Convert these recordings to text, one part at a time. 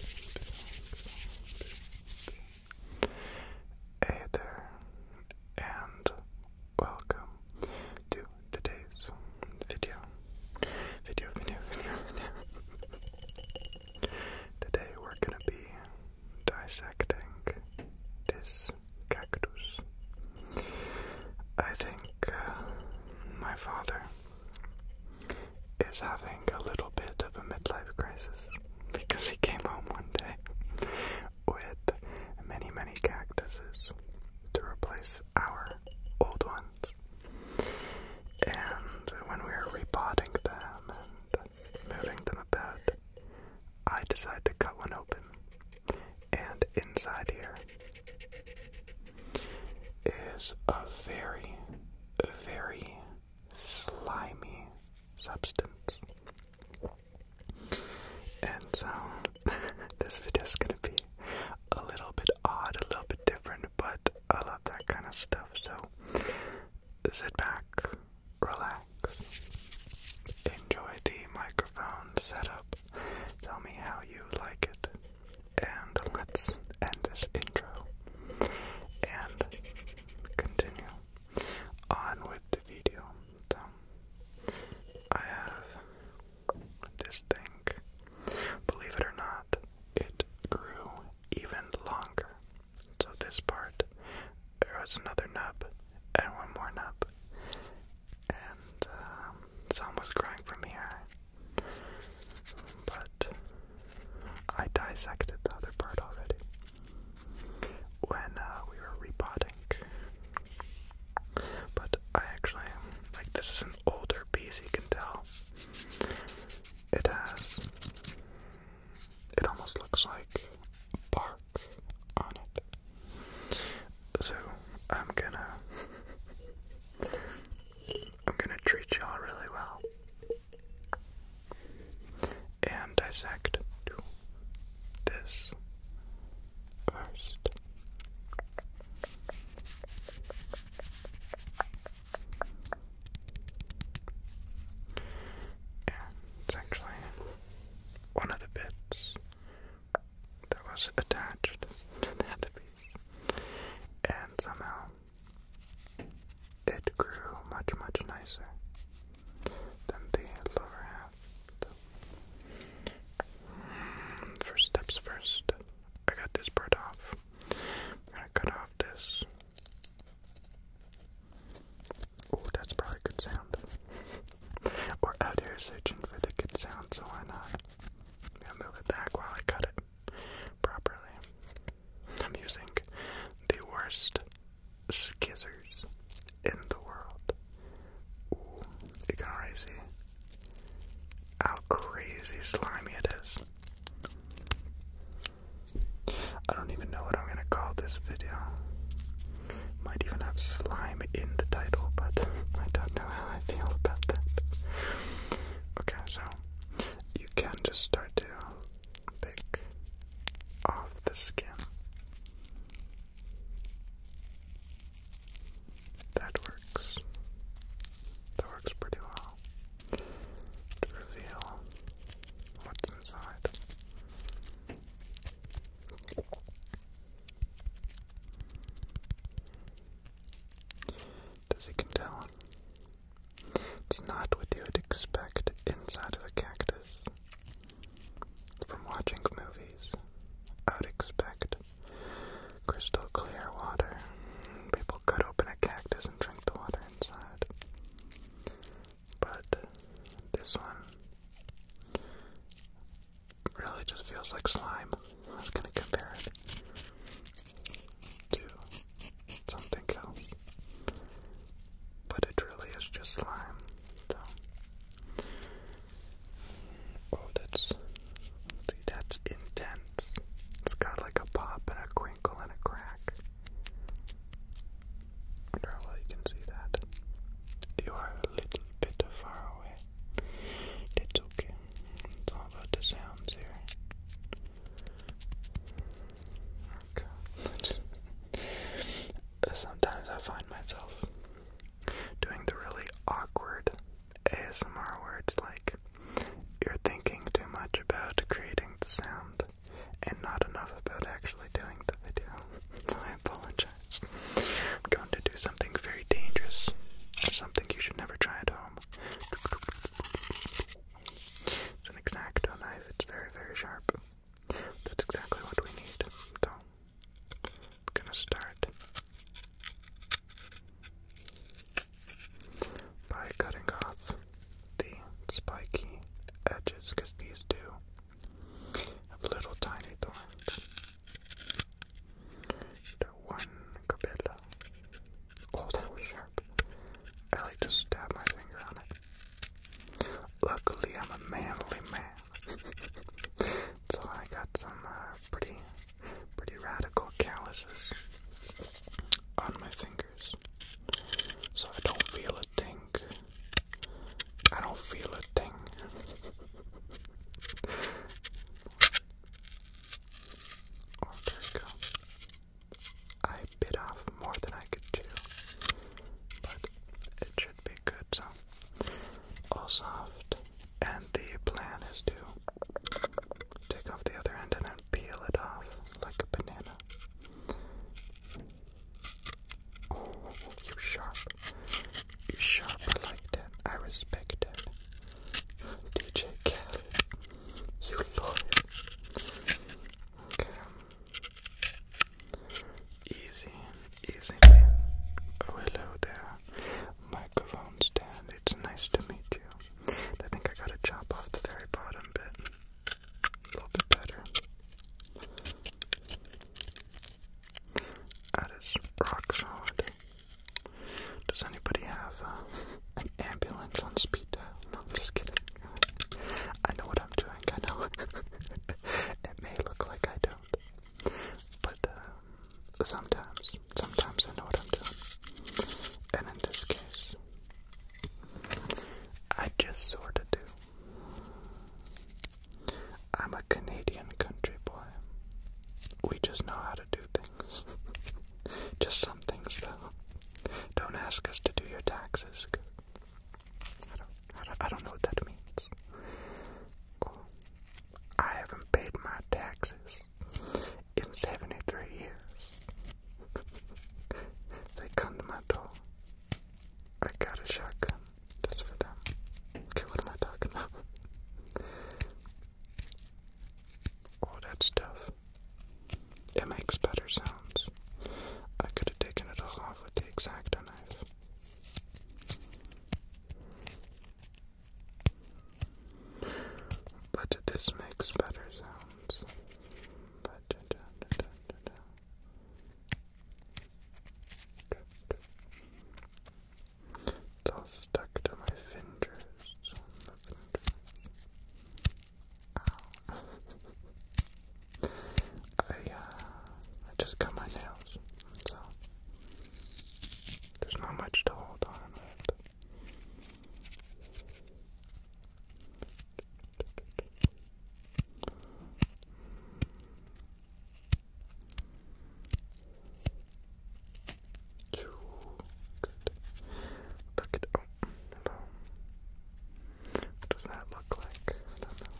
Hey there, and welcome to today's video. Video, video, video, video. Today we're gonna be dissecting this cactus. I think uh, my father is having a little bit of a midlife crisis because he came home one day with many, many cactuses to replace our old ones. And when we were repotting them and moving them about, I decided to cut one open. And inside here is a very, very slimy substance. And so, this video is gonna be a little bit odd, a little bit different, but I love that kind of stuff. So, sit back, relax, enjoy the microphone setup. Tell me how you like it. And let's end this intro and continue on with the video. So, I have this thing. Believe it or not, it grew even longer. So, this part, there was another nub and one more nub. And um, some was growing from here but I dissected the other part already when uh, we were repotting. But I actually, like, this is an older piece, you can tell. It has, it almost looks like bark on it. So I'm gonna, I'm gonna treat y'all really well and dissect this first. And it's actually one of the bits that was attached to that piece and somehow it grew much, much nicer than the lower half. First steps first. I got this part off. I'm gonna cut off this. Oh, that's probably good sound. We're out here searching for the good sound, so why not? move it back while I cut it properly. I'm using the worst skizzers in the world. you can already see how crazy slimy it is. I don't even know what I'm gonna call this video. Might even have slime in the title, but I don't know how I feel about that. Okay, so you can just start to pick off the skin. That works. That works pretty well to reveal what's inside. Does he can tell? It's not what you would expect inside of a cactus. From watching movies, I would expect crystal clear water. People cut open a cactus and drink the water inside. But this one really just feels like slime. I was gonna compare it to something else. But it really is just slime. Oh, that's see, that's intense. It's got like a pop and a crinkle and a crack. I well you can see that. You are a little bit far away. That's okay. It's all about the sounds here. Sometimes I find myself doing the really awkward ASMR words like you're thinking too much about creating the sound and not enough about actually doing the video. I apologize. I'm going to do something very dangerous. Something you should never try at home. It's an exacto knife, it's very, very sharp. That's exactly what we need. So, I'm gonna start by cutting off the spiky edges because these do have little tiny thorns one Cabela. Oh, that sharp. I like to stab my finger on it. Luckily, I'm a manly man. so I got some uh, pretty, pretty radical calluses on my fingers. So I don't feel a thing. I don't feel a thing. Oh, there we go. I bit off more than I could chew, but it should be good. So, all soft, and the plan is to take off the other end and then peel it off like a banana. Oh, you sharp. You sharp. I like that. I respect it. DJ Khaled, you loyal. Okay. Easy, easy. Oh, hello there. Microphone stand. It's nice to meet you. I think I gotta chop off the very bottom bit. A little bit better. That is rock solid. Does anybody have uh, an ambulance on speed No, I'm just kidding. I know what I'm doing. I know. it may look like I don't, but uh, sometimes, sometimes I know what I'm doing, and in this case, I just sorta do. I'm a Canadian country boy. We just know how to do things. Just some things, though. Don't ask us to do your taxes. I don't, I don't, know what that means. I haven't paid my taxes in 73 years. they come to my door. I got a shotgun just for them. Okay, what am I talking about? all oh, that stuff. It makes better sounds. I could have taken it all off with the exacto knife. But this makes better sounds. It's all stuck to my fingers. My I uh, I just cut my nails, so there's not much to hold on Good. Look at oh hello. does that look like? I don't know.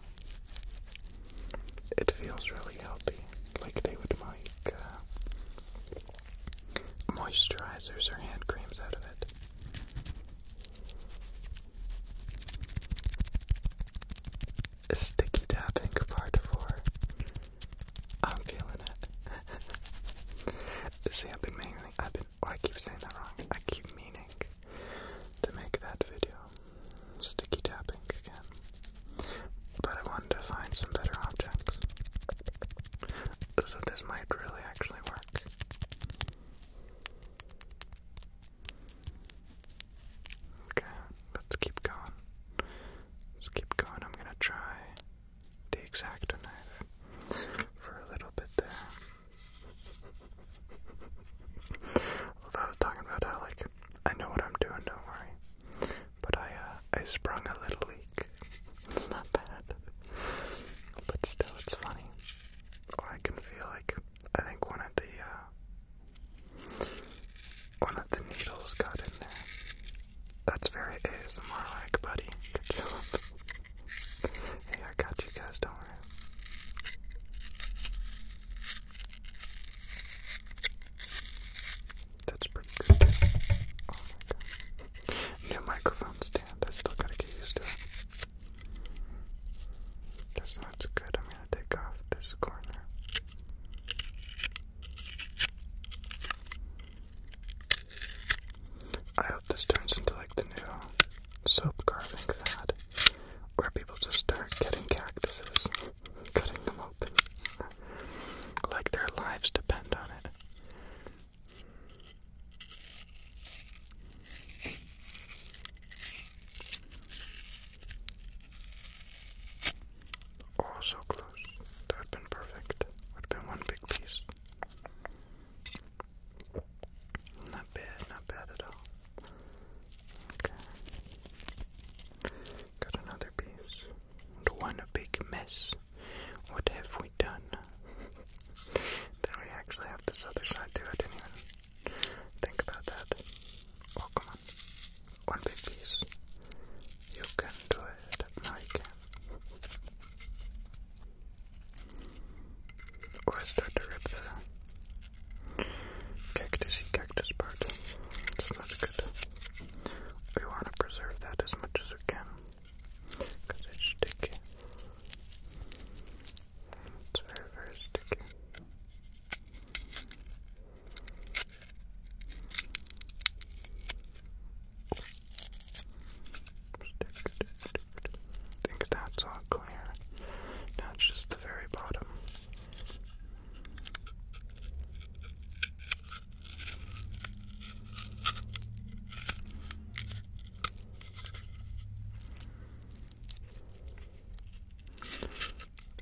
It feels really healthy, like they would make uh, moisturizers or hand creams out of it. Sticky tapping part four. I'm feeling it. See, I've been meaning, I've been, oh, I keep saying that wrong. I keep meaning to make that video. Sticky tapping again. But I wanted to find some better objects. So this might really actually work. Okay, let's keep going. Let's keep going. I'm gonna try the exacto knife for a little bit there. Although I was talking about how, like, I know what I'm doing, don't worry. But I, uh, I sprung a little leak. It's not bad. But still, it's funny. I can feel like, I think one of the, uh, one of the needles got in there. That's very ASMR like, buddy. Good job. hey, I got you guys, don't worry. That's pretty good. Oh my god. New microphone stand. I still gotta get used to it. That's not good. I'm gonna take off this corner. I hope this turns into like the new soap carving fad, where people just start getting cactuses, cutting them open, like their lives depend on it. Oh, so close. That would have been perfect. Would have been one big piece. Not bad, not bad at all. Okay. Got another piece. one big mess. What have we done? then we actually have this other side too. I didn't even think about that. Oh, come on one big piece. You can do it. No, you can. Or start to rip the cactus cactus part. It's not good. We want to preserve that as much as we can. Because it's sticky. It's very, very sticky. I think that's all clear. Now just the very bottom.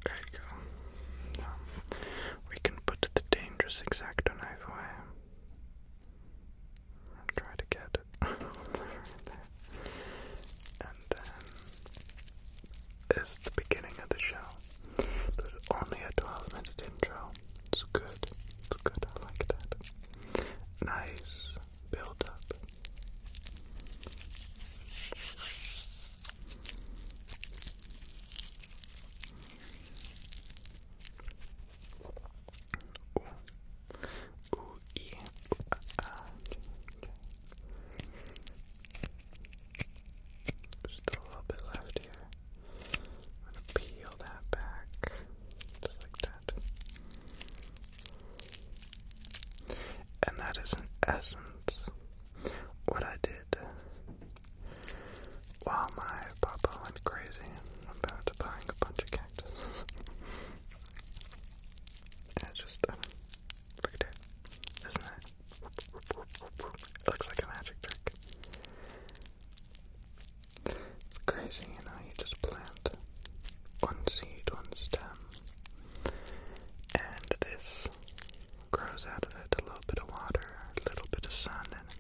There you go. We can put the dangerous exacto knife away. i am try to get it. And then is the beginning of the show. There's only a 12 minute intro. It's good. It's good. I like that. Nice build up. Just a little bit left here. peel that back. Just like that. And that is an essence. What I did while my papa went crazy about buying a bunch of cactuses. it's just, I um, mean, look Isn't it? It looks like a magic trick. It's crazy, you know, you just plant one seed, one stem, and this grows out of it. A little bit of water, a little bit of sun, and,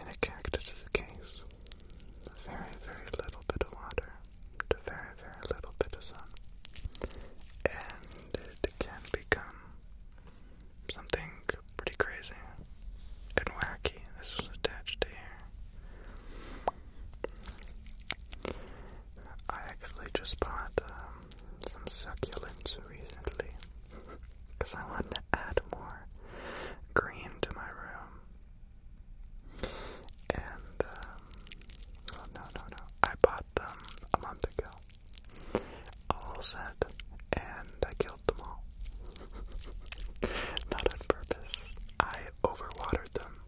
and a cactus is a case. A very, very little bit of water, a very, very little bit of sun. And it can become something pretty crazy and wacky. This was attached to here. I actually just bought um, some succulents recently because I wanted to add more green to my room. And, um, oh, no, no, no, I bought them a month ago. All set, and I killed them all. Not on purpose. I overwatered them,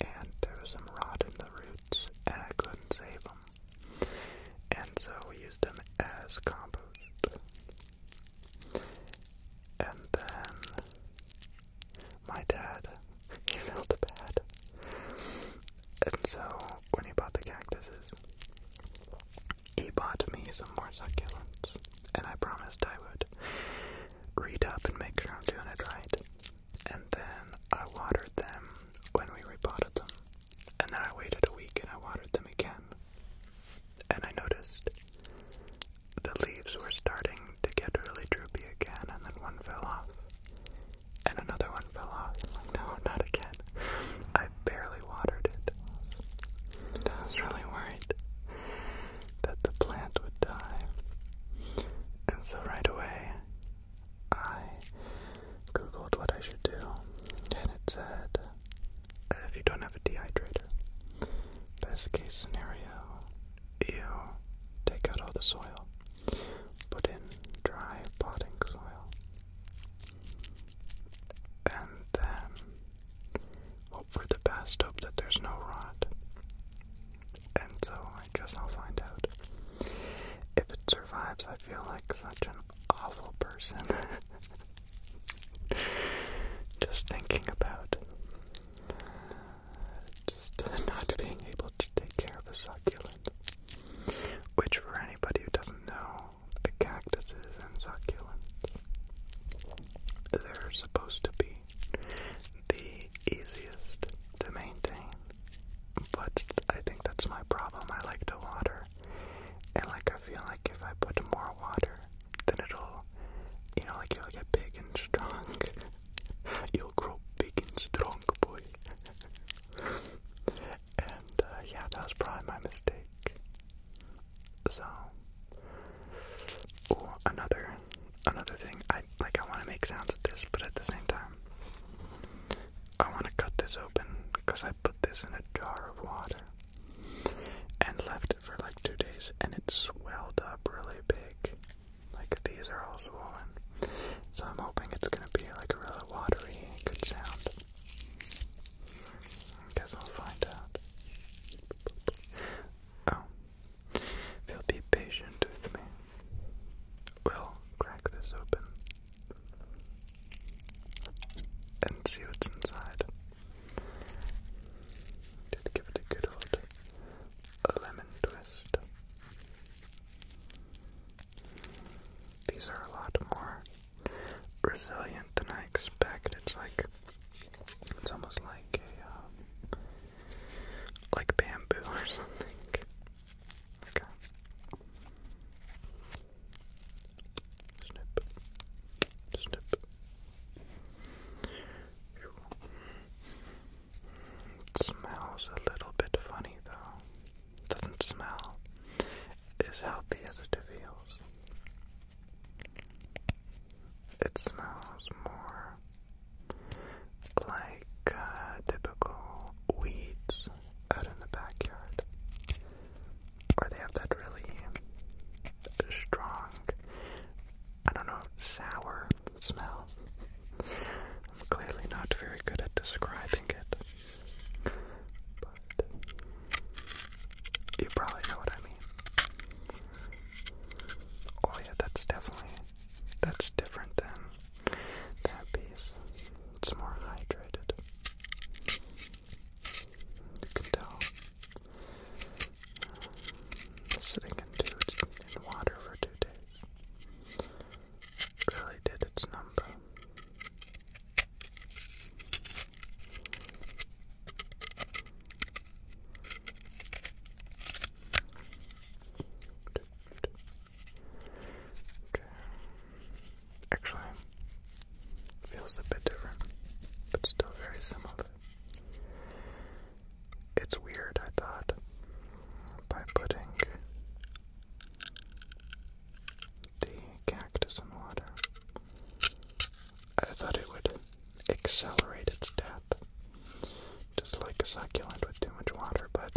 and there was some rot in the roots, and I couldn't save them and so we used them as compost. And then my dad, he felt bad. And so when he bought the cactuses, he bought me some more succulents. And I promised I would read up and make sure I'm doing it right. And then I watered them when we repotted them. And then I waited a week and I watered them again. And I noticed the leaves were starting to get really droopy again, and then one fell off. And another one fell off. i like, no, not again. I barely watered it. I was really worried that the plant would die. And so right away, I googled what I should do, and it said if you don't have a dehydrator, best case scenario, you take out all the soil, put in dry potting soil, and then hope for the best, hope that there's no rot. And so I guess I'll find out. If it survives, I feel like such an awful person. just thinking about just not being able to take care of a succulent. Which, for anybody who doesn't know, the cactuses and succulents, they're supposed to be the easiest to maintain but I think that's my problem. I like to water. And like I feel like if I put more water, then it'll you know, like you'll get big and strong. you'll grow big and strong, boy. and uh, yeah, that was probably my mistake. So another another thing. I like I wanna make sounds with this, but at the same time I want to cut this open because I put this in a jar of water and left it for like two days and it swelled up really big. Like these are all swollen. So I'm hoping it's going to be like a really watery, good sound. Guess we'll find out. Oh. If be patient with me, We'll crack this open and see what's inside. Just give it a good old a lemon twist. These are a lot more resilient than I expect. It's like it's almost like a um, like bamboo or something. Okay. Snip. Snip. It smells a little bit funny though. Doesn't smell as healthy as it feels. It smells more like uh, typical weeds out in the backyard, or they have that really strong, I don't know, sour smell. I'm clearly not very good at describing it, but you probably know what I mean. Oh yeah, that's definitely that's different than that piece. It's more hydrated. You can tell. Uh, sitting in, two, in water for two days really its number. Okay. Actually, feels a bit different, but still very similar. It's weird, I thought, by putting the cactus in water, I thought it would accelerate its death, just like a succulent with too much water, but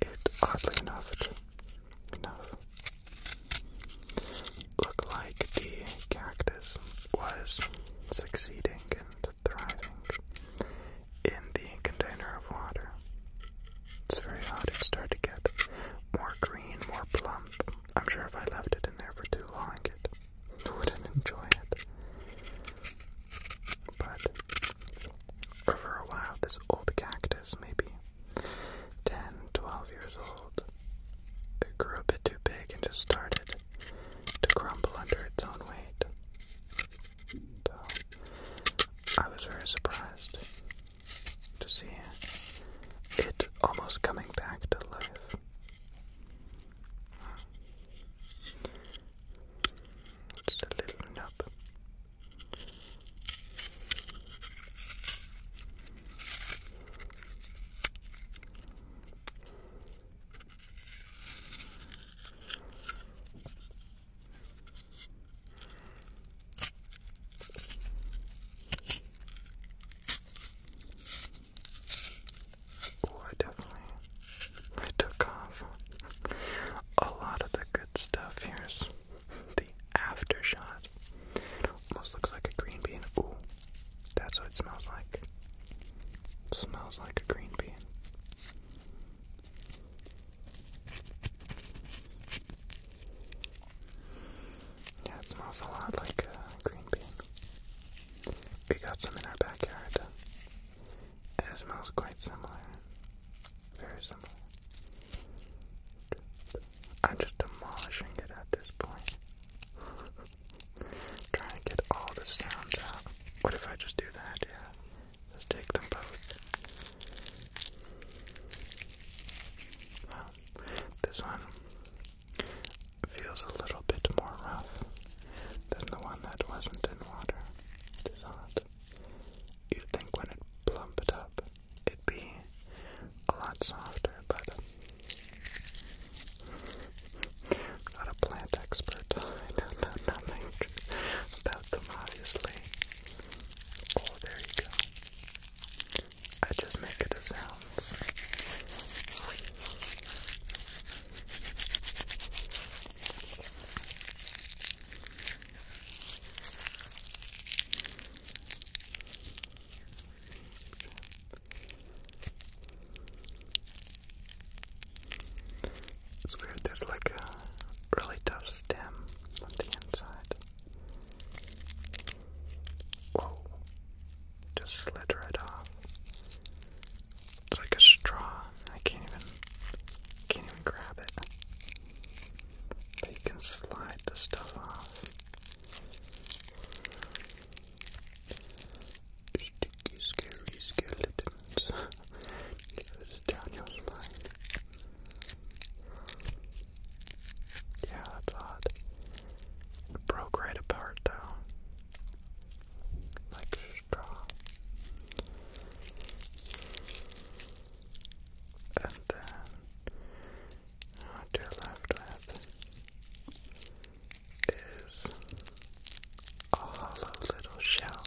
it oddly enough, enough looked like the cactus was succeeding and thriving in the container of water. It's very odd. It started to get more green, more plump. I'm sure if I left it in there for too long, it wouldn't enjoy it. But for a while, this old cactus, maybe 10, 12 years old, it grew a bit too big and just started to crumble under its own weight. So, I was very surprised to see it almost coming back to life. Just a little nub. Oh, I definitely I took off. A lot of the good stuff. Here's the after shot. almost looks like a green bean. Ooh, that's what it smells like. smells like a green bean. Yeah, it smells a lot like a green bean. We got some in our backyard it smells quite similar. Very similar. I'm just demolishing it at this point. Trying to get all the sounds out. What if I just do that? Yeah. Let's take them both. this one feels a little bit more rough than the one that wasn't in water. Dissolved. You'd think when it plumped up, it'd be a lot softer, but i not a plant expert. I don't know nothing about them, obviously. Oh, there you go. I just make it a sound. It's weird, there's like a really tough stem on the inside. Whoa, just slid right off. It's like a straw. I can't even can't even grab it. But you can slide the stuff off. Sticky, scary skeletons. Yeah, that's odd. It broke right apart though like straw. And then what you left with is a hollow little shell.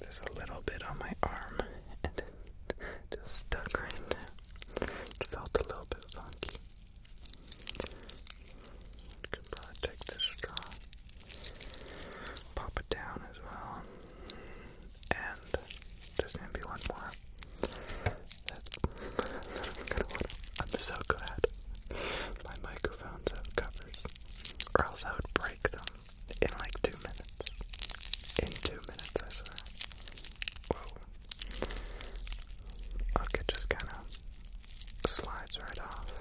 There's a little bit on my arm and it just stuck right now felt a little bit funky. You probably take this straw, pop it down as well, and there's gonna be one more. I'm so glad my microphones have covers, or else I would break them in like two minutes. In two minutes, I swear. Look, just kind of slides right off.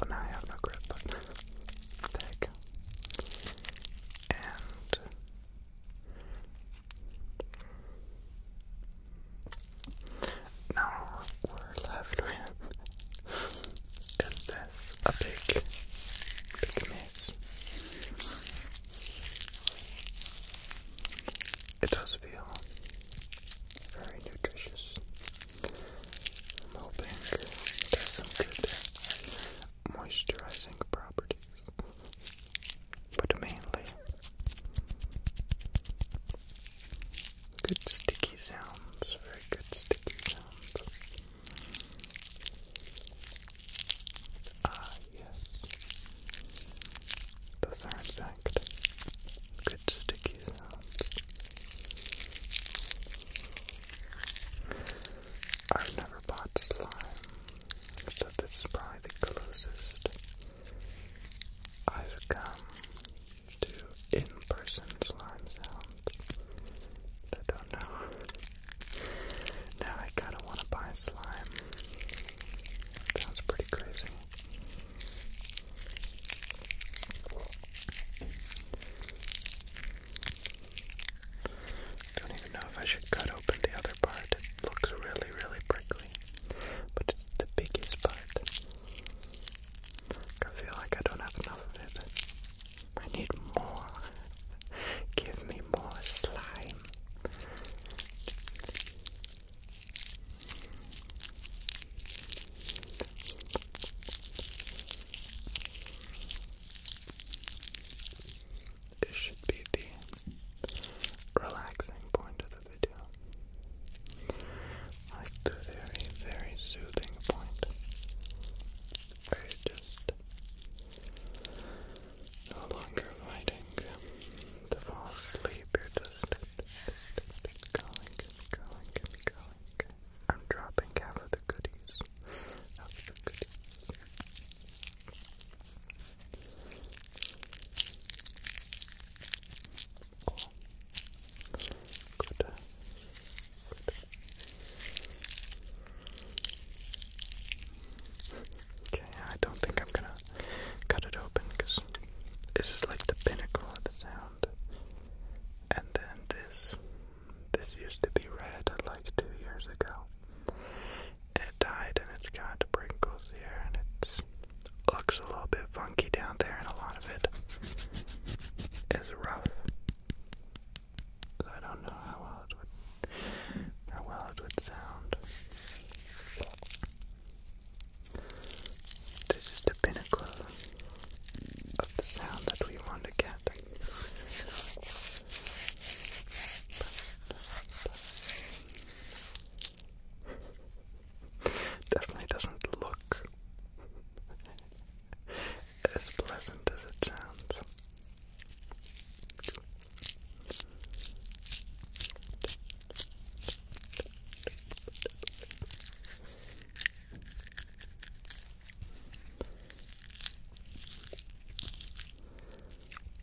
Well, now have no grip, there you go. And now we're left with is this a big, big maze? It does feel very nutritious. I'm hoping it has some good moisturizing properties, but mainly good sticky sounds, very good sticky sounds. Ah, yes. Those are, in fact, good sticky sounds. I've never bought slime, so this is probably the closest I've come to in person slime sounds. I don't know. Now I kind of want to buy slime. Sounds pretty crazy. Don't even know if I should cut open the other part. It looks really, really prickly. But it's the biggest part. I feel like I don't have enough of it. I need more. Give me more slime. This should be the relaxing point of the video. Like the very, very soothing point. Where you just no longer fighting to fall asleep, you're just going and going and going. I'm dropping half of the goodies. Okay, I don't think I'm gonna cut it open because this is like the pinnacle of the sound. And then this this used to be red like two years ago. it died and it's got wrinkles here and it looks a little bit funky down there and a lot of it is rough. I don't know how well it would how well it would sound. This is the pinnacle of the sound that we want to get. definitely doesn't look as pleasant as it sounds.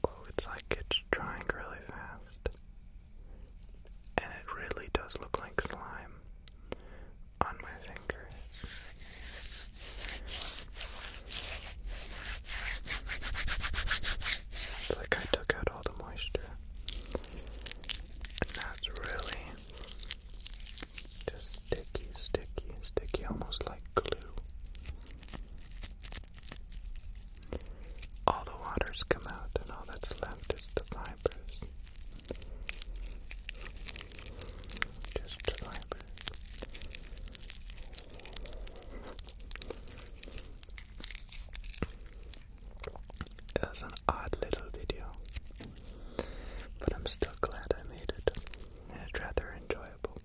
Oh, it's like it's drying really fast. And it really does look like slime on my like I took out all the moisture. And that's really just sticky, sticky, sticky, almost like glue. All the waters come out, and all that's left is the fibers just a little bit. an odd little video, but I'm still glad I made it. It's rather enjoyable.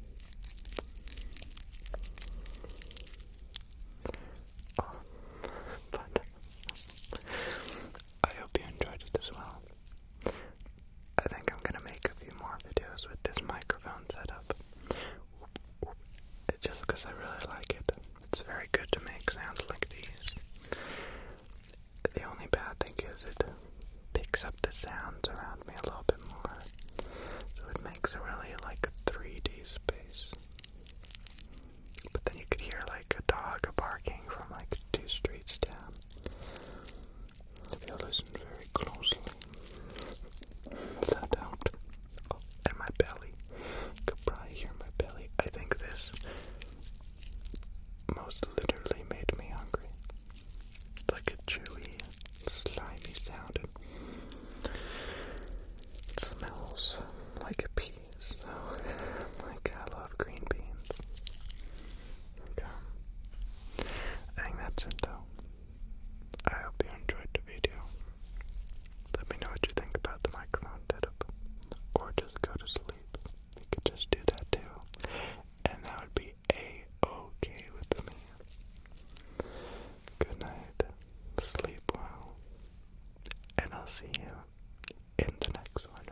Oh, but I hope you enjoyed it as well. I think I'm gonna make a few more videos with this microphone setup. Just because I really like it. It's very good to make sounds like these. The only bad thing is it picks up the sounds around me a little bit more. So it makes a really like a 3D space. But then you could hear like a dog barking from like two streets down. If you listen very closely, that out. Oh, my belly. You could hear my belly. I think this most literally made me hungry. like a chewy, slimy sound. It smells like a pea, so like I love green beans. Okay. I think that's it though. I hope you enjoyed the video. Let me know what you think about the microphone setup. Or just go to sleep. You could just do that too. And that would be a-okay with me. Good night. Sleep well. And I'll see you in the next one.